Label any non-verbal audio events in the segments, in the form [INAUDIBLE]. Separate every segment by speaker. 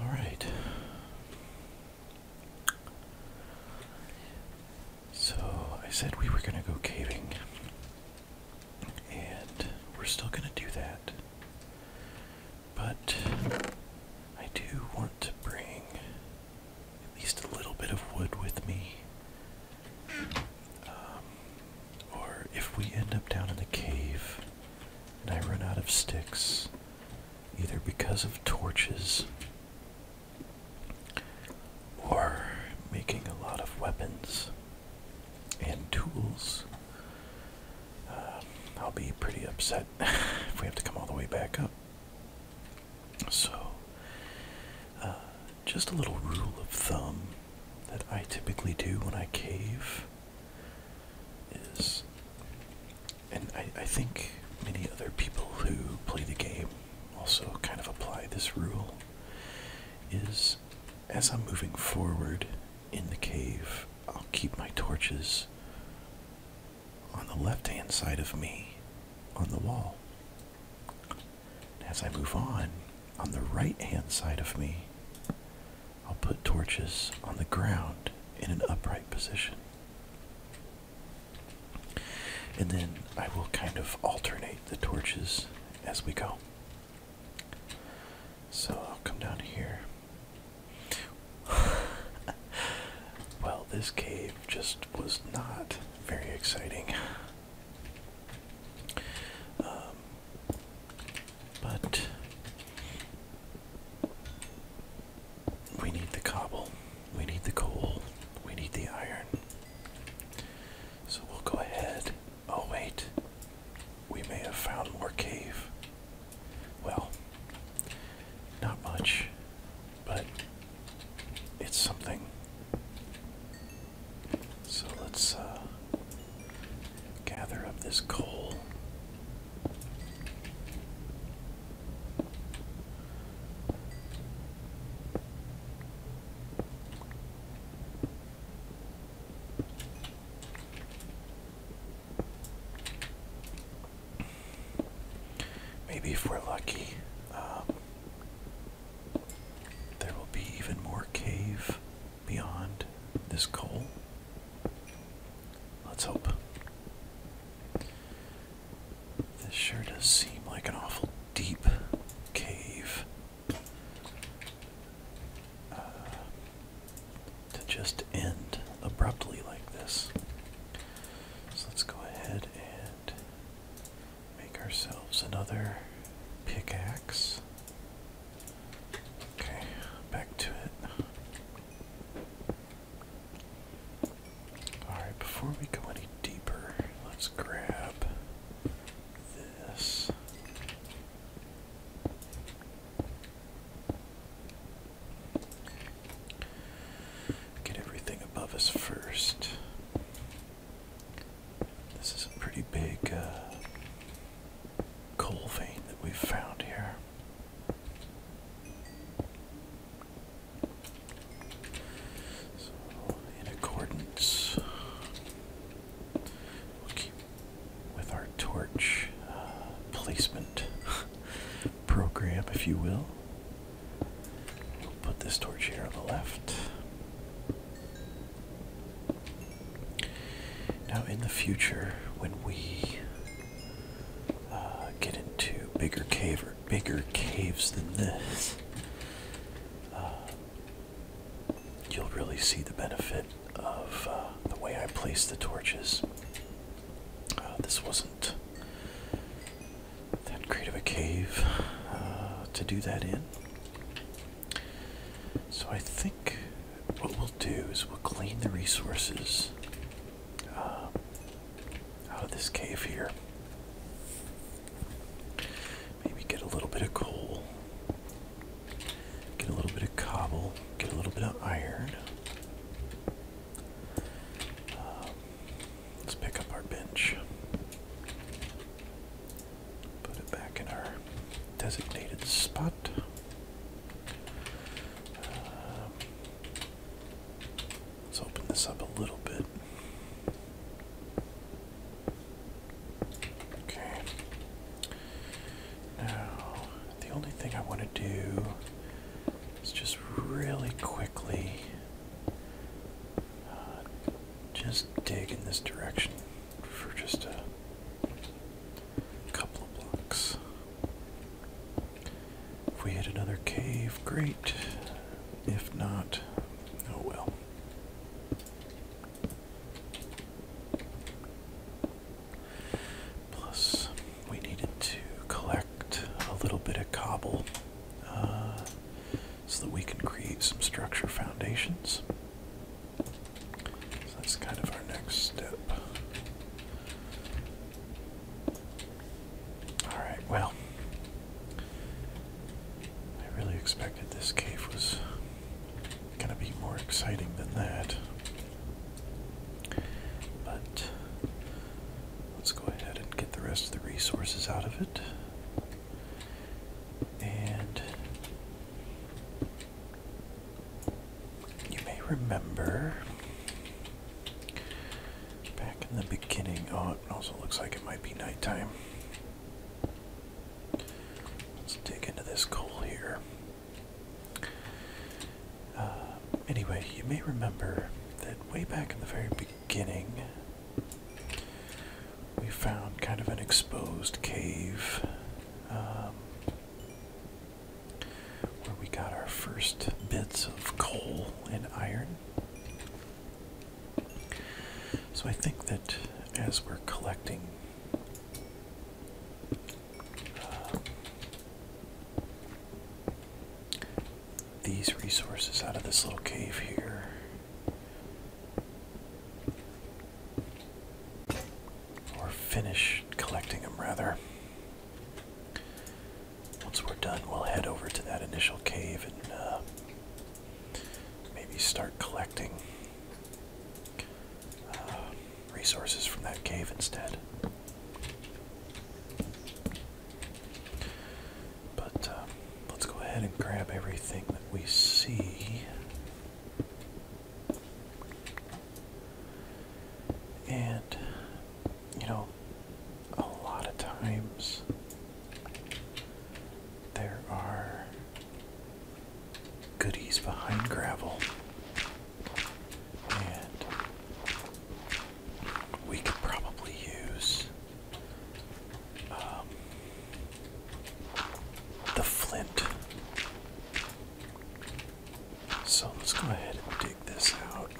Speaker 1: All right. So I said we were going to go caving, and we're still going to do that. But I do want to bring at least a little bit of wood with me um, or if we end up down in the cave and I run out of sticks, either because of torches or making a lot of weapons and tools, um, I'll be pretty upset [LAUGHS] if we have to come all the way back up. So, uh, just a little rule of thumb that I typically do when I cave is, and I, I think many other people who play the game also kind of apply this rule, is as I'm moving forward in the cave, I'll keep my torches on the left hand side of me on the wall. As I move on, on the right hand side of me, I'll put torches on the ground in an upright position. And then I will kind of alternate the torches as we go. So I'll come down here. [LAUGHS] well, this cave just was not very exciting. Um, but we need the cobble, we need the coal, we need the iron. So we'll go ahead. Oh, wait. We may have found more cave. Well, not much, but it's something. So let's uh, gather up this coal. Maybe if we're lucky, um, there will be even more cave beyond this coal. Let's hope. This sure does seem like an awful deep cave uh, to just end abruptly like this. So let's go ahead and make ourselves another pickaxe. Okay, back to it. Alright, before we go any deeper, let's grab this. Get everything above us first. This is a pretty big uh, coal vein that we've found here. So, in accordance, with our torch uh, placement [LAUGHS] program, if you will. We'll put this torch here on the left. Now, in the future, when we uh, get into bigger cave or bigger caves than this, uh, you'll really see the benefit of uh, the way I placed the torches. this wasn't then creative a cave uh, to do that in. So I think what we'll do is we'll clean the resources uh, out of this cave here. Maybe get a little bit of coal, get a little bit of cobble, get a little bit of iron. Um, Let's pick up our bench. Put it back in our designated spot. Uh, let's open this up a little bit. Okay. Now, the only thing I want to do is just really quickly just dig in this direction for just a couple of blocks. If we hit another cave, great. If not, oh well. Plus, we needed to collect a little bit of cobble. Uh, so that we can create some structure foundations. So that's kind of our next step. Alright, well, I really expected this cave was going to be more exciting than that. But let's go ahead and get the rest of the resources out of it. And you may remember back in the beginning. Oh, it also looks like it might be nighttime. Let's dig into this coal here. Uh, anyway, you may remember that way back in the very beginning beginning, we found kind of an exposed cave um, where we got our first bits of coal and iron. So I think that as we're collecting um, these resources out of this little cave here. Or finish collecting them, rather. Once we're done, we'll head over to that initial cave and uh, maybe start collecting uh, resources from that cave instead. But uh, let's go ahead and grab everything that we see. And, you know, a lot of times there are goodies behind gravel we could probably use um, the flint. So let's go ahead and dig this out.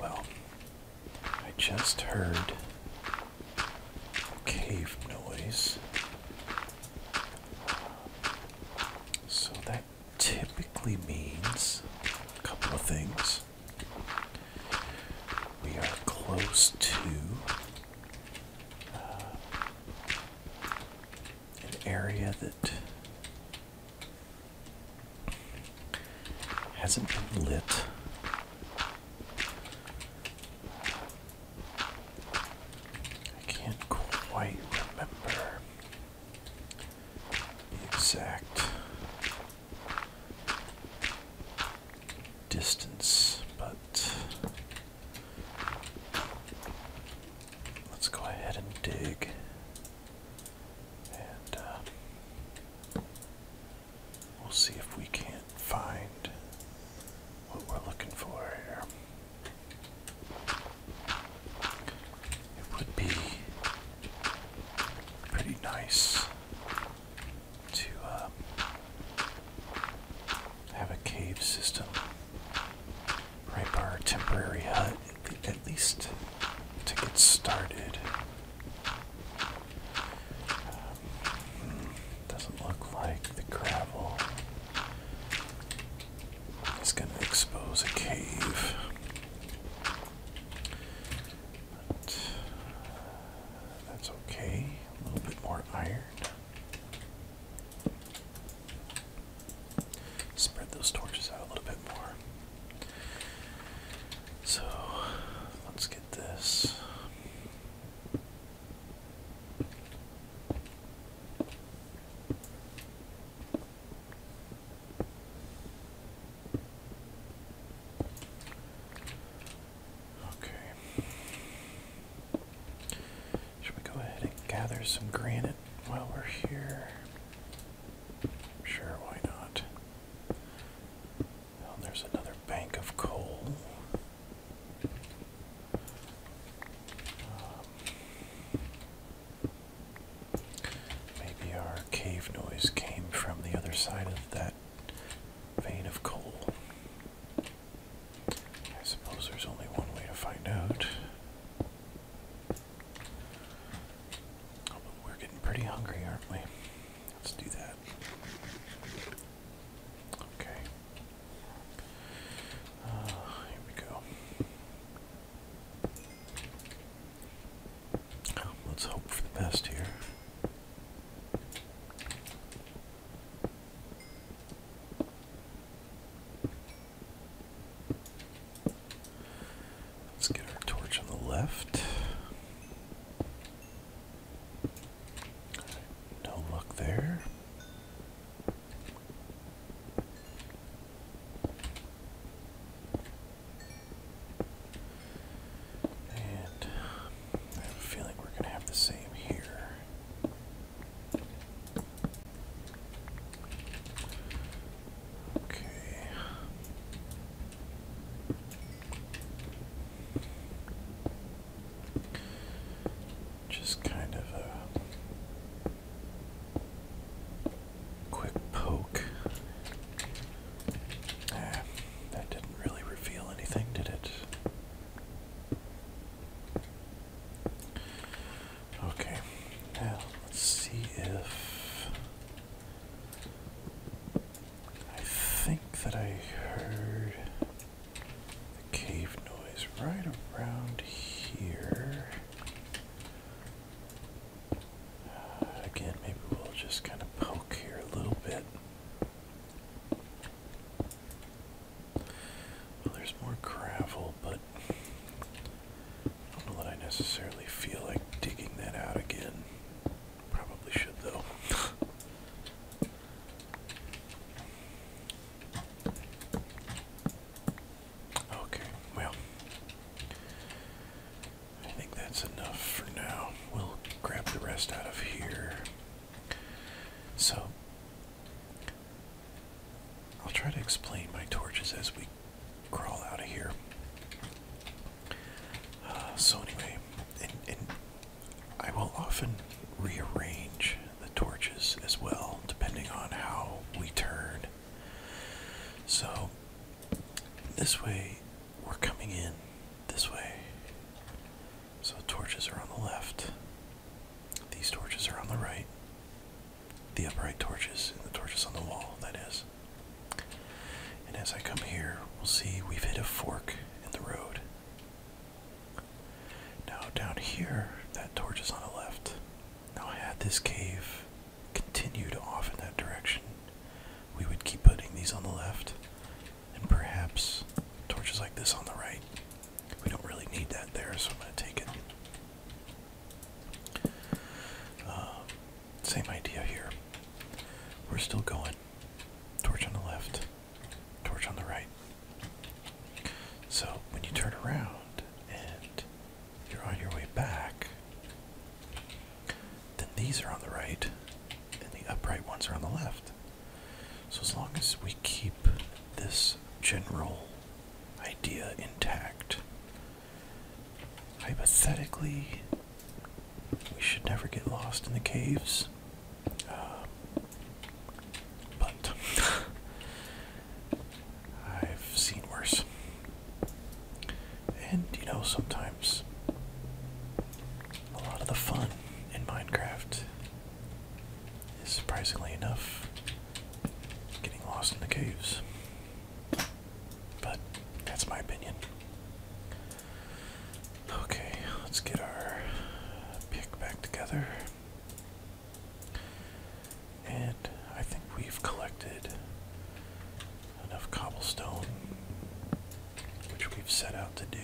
Speaker 1: Well, I just heard a cave noise. So that typically means a couple of things. We are close to uh, an area that hasn't been lit. I can't quite remember exact distance, but let's go ahead and dig and uh, we'll see if we can't find what we're looking for here. It would be pretty nice to uh, have a cave system right by our temporary hut, at, least to get started. Um, doesn't look like the gravel it's going to expose a cave. Uh, that's okay. A little bit more iron. Spread those torches out a little bit more. So let's get this. Okay. Should we go ahead and gather some granite while we're here? Sure, why not? Well, there's another bank of coal maybe our cave noise came from the other side of that vein of coal. I suppose there's only one way to find out. but we're getting pretty hungry, aren't we? Let's do that. Okay here we go. let's hope for the best here. Let's get our torch on the left. no luck there. I have a feeling we're going to have the same here. Okay. Just kind of a Quick poke. Ah, that didn't really reveal anything, did it? Okay, now let's see if. I think that I heard the cave noise right around here. Uh, again, maybe we'll just kind of poke here a little bit. Well, there's more gravel, but I don't know that I necessarily feel like digging that out again. Probably should, though. [LAUGHS] Okay, well, I think that's enough for now. We'll grab the rest out of here. So, I'll try to explain my torches as we crawl out of here. Uh, so, anyway, and I will often rearrange the torches as well, depending on how we turn. So, this way, we're coming in this way. So, torches are on the left, these torches are on the right, the upright torches, and the torches on the wall, that is. And as I come here, we'll see we've hit a fork in the road. Now down here, that torch is on the left. Now I had this cave continued off in that direction, we would keep putting these on the left, and perhaps torches like this on the right. We don't really need that there, so I'm going to take it. Um, same idea here. We're still going. Torch on the left. Torch on the right. So when you turn around and you're on your way back, then these are on the right and the upright ones are on the left. So as long as we keep this general idea intact, hypothetically, we should never get lost in the caves. Um, but I've seen worse. And you know, sometimes a lot of the fun in Minecraft is surprisingly enough getting lost in the caves. But that's my opinion. Okay, let's get our pick back together. And I think we've collected enough cobblestone, which we've set out to do.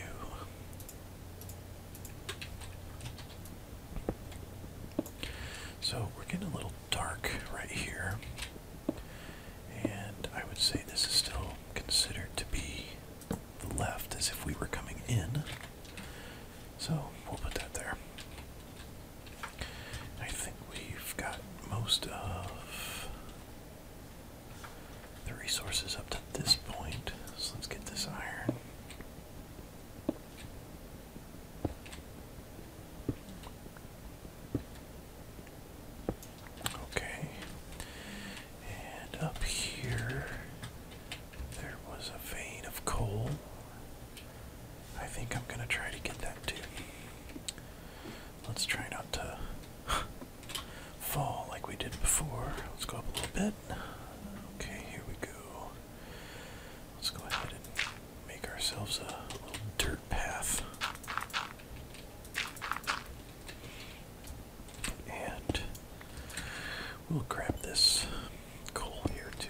Speaker 1: So we're getting a little dark right here, and I would say this is still considered to be the left as if we were coming in. So we'll put that there. I think we've got most of the resources up to this point. So let's get this iron. Okay. And up here there was a vein of coal. I think I'm gonna try to get that too. Let's try not to [LAUGHS] fall like we did before. Let's go up a little bit. Okay, here we go. Let's go ahead and make ourselves a little dirt path. And we'll grab this coal here too.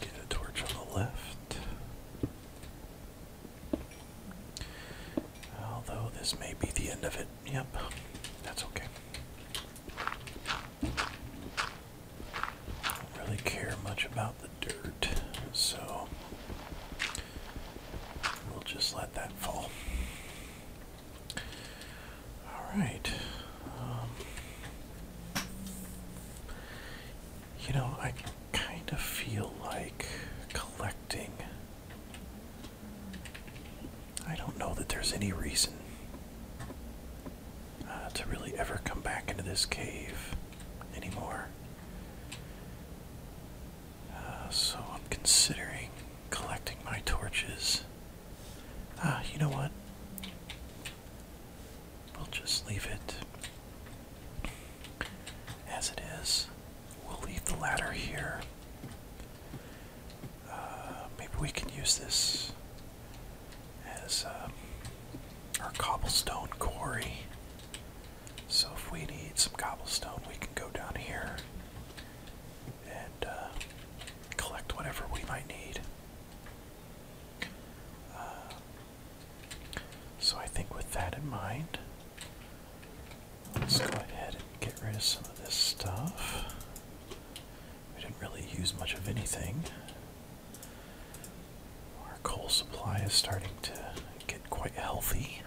Speaker 1: Get a torch on the left. Although this may be the end of it. Yep, that's okay. Don't really care much about the dirt, so we'll just let that fall. All right. Um, you know, I kind of feel like collecting. I don't know that there's any reason uh, to really ever come back into this cave anymore. Uh, so I'm considering collecting my torches. Ah, you know what? We'll just leave it as it is. We'll leave the ladder here. Uh, maybe we can use this as um, our cobblestone quarry. So if we need some cobblestone, we can go down here and uh, collect whatever we might need. Uh, so I think with that in mind, let's go ahead and get rid of some of this stuff. We didn't really use much of anything. Our coal supply is starting to get quite healthy.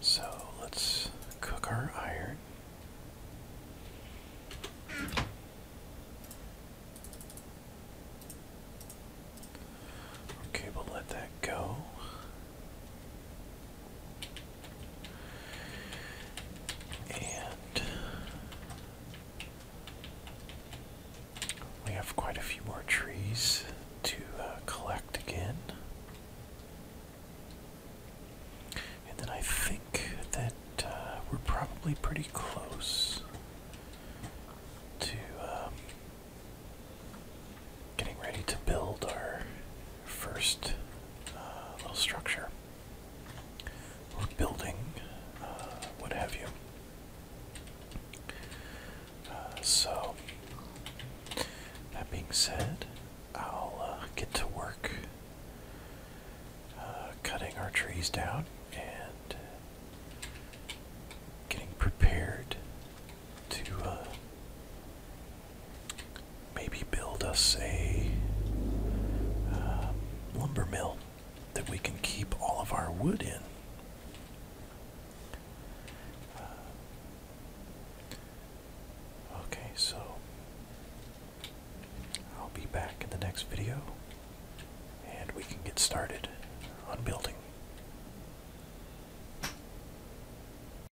Speaker 1: So let's cook our iron. Okay, we'll let that go. And we have quite a few more trees to uh, collect again. And then I think that uh, we're probably pretty close to um, getting ready to build our first uh, little structure or building, uh, what have you. Uh, so, that being said, I'll get to work cutting our trees down and getting prepared to maybe build us a uh, lumber mill that we can keep all of our wood in. Uh, okay, so I'll be back in the next video and we can get started on building.